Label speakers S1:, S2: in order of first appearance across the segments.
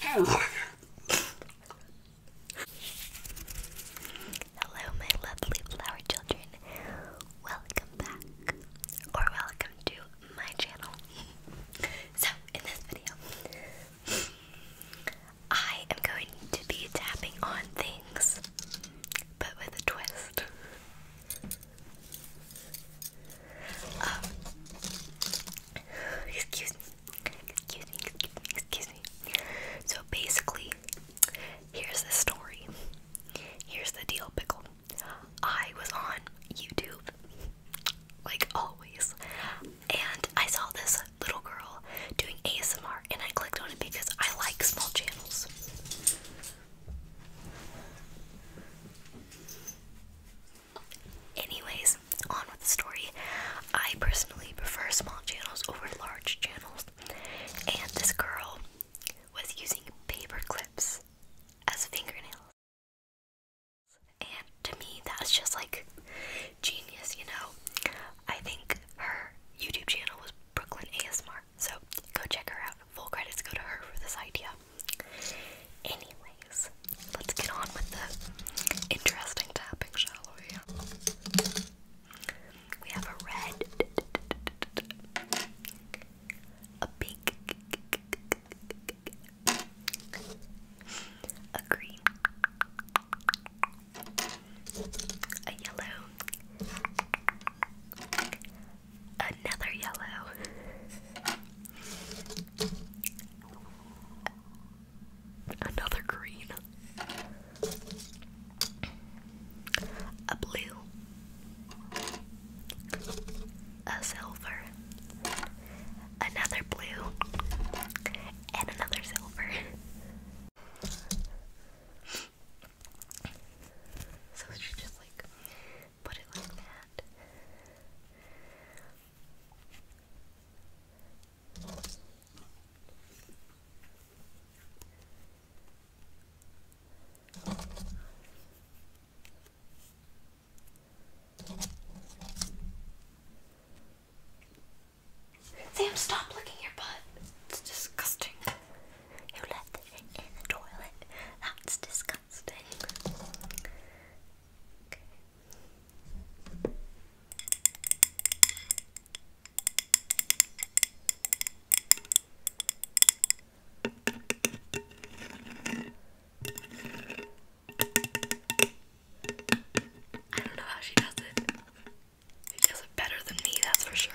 S1: Hello, my lovely flower children. Welcome back, or welcome to my channel. so, in this video, I am going to be tapping on things, but with a twist. Um, excuse me, excuse me, excuse me, excuse me. So basically, here's the story. Here's the deal, pickle. I was on YouTube, like always, and I saw this little girl doing ASMR, and I clicked on it because I like small channels. Anyways, on with the story. I personally prefer small channels over large channels, and this girl was using paper clips as fingernails. And to me, that's just like genius, you know? I think her YouTube channel was Brooklyn ASMR, so go check her out. Full credits go to her for this idea. Anyways, let's get on with the interesting tapping, shall we? We have a red, a pink, a green, a yellow, another yellow, Another green. A blue. A silver. Another blue. And another silver. So she just like put it like that. Sam, stop licking your butt. It's disgusting. You left the in the toilet. That's disgusting. I don't know how she does it. She does it better than me, that's for sure.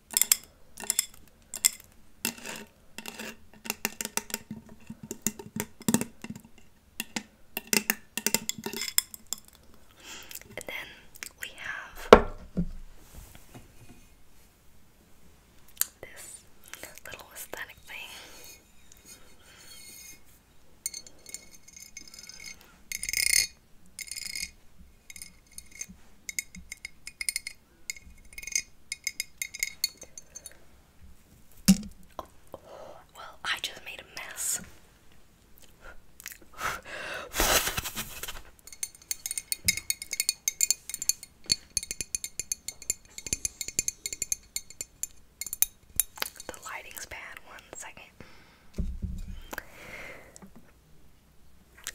S1: And then we have this little aesthetic thing well, I just made a mess. the lighting's bad. One second.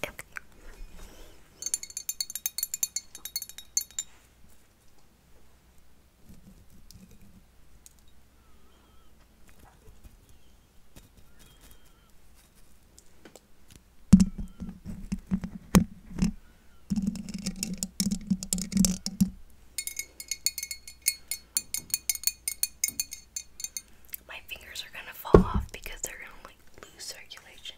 S1: Okay. My fingers are going to fall off because they're going to like lose circulation.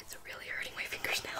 S1: It's really hurting my fingers now.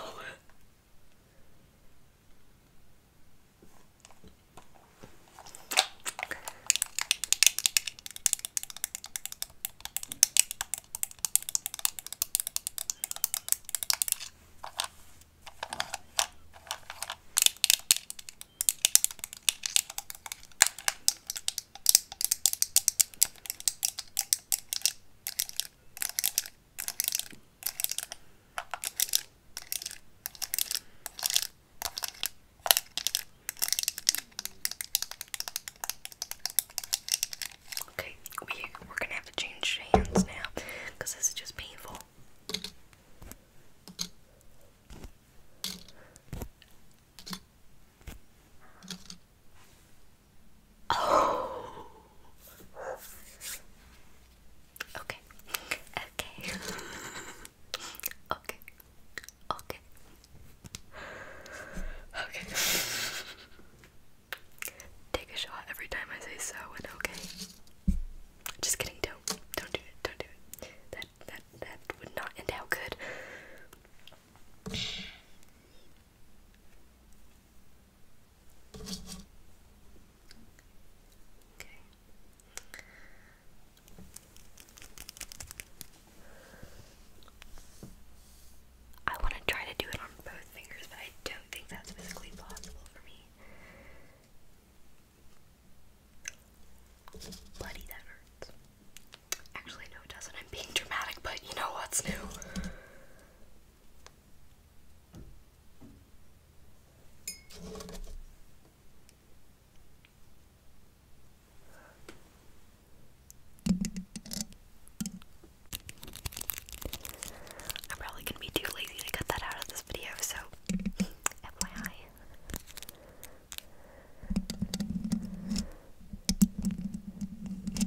S1: Okay, we we're gonna have to change hands now because this is just painful. Oh. Okay. Okay. okay. Okay. Okay. Take a shot every time I say so and okay. Just kidding, don't. Don't do it. Don't do it. That that that would not end out good. I want to try to do it on both fingers, but I don't think that's physically possible for me. Bloody, that hurts. Actually, no, it doesn't. I'm being dramatic, but you know what's new? I'm probably gonna be too lazy to cut that out of this video, so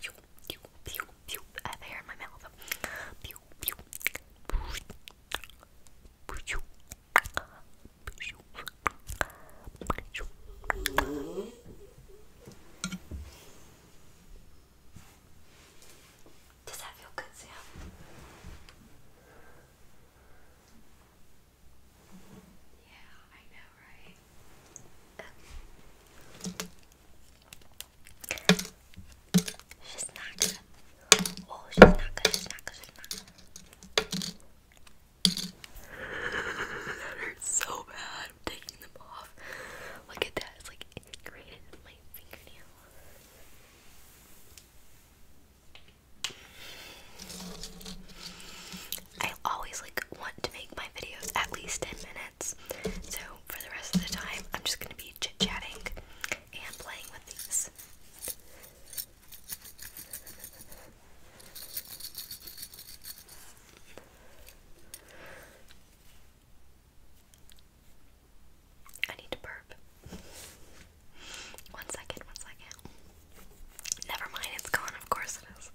S1: Pew, pew, I have ah, my mouth. Does that feel good, Sam? Yeah, I know, right? She's not good. Oh, she's not good. She's not good. She's not good. that hurts so bad. I'm taking them off. Look at that. It's like integrated in my fingernail. I always like want to make my videos at least 10 minutes. So for the rest of the time, I'm just gonna be chit-chatting and playing with these. I need to burp. One second, one second. Never mind, it's gone. Of course it is.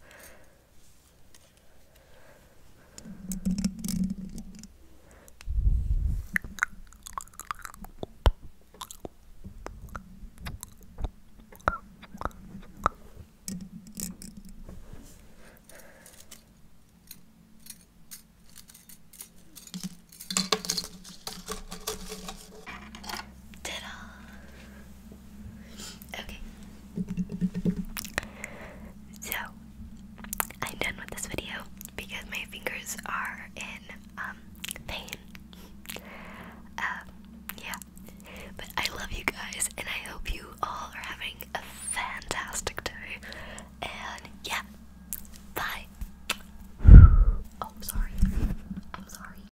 S1: Did Okay. So, I'm done with this video because my fingers are in um, pain. Um, yeah. But I love you guys and I hope you all are having a fantastic day. And yeah. Bye. Oh, sorry. I'm sorry.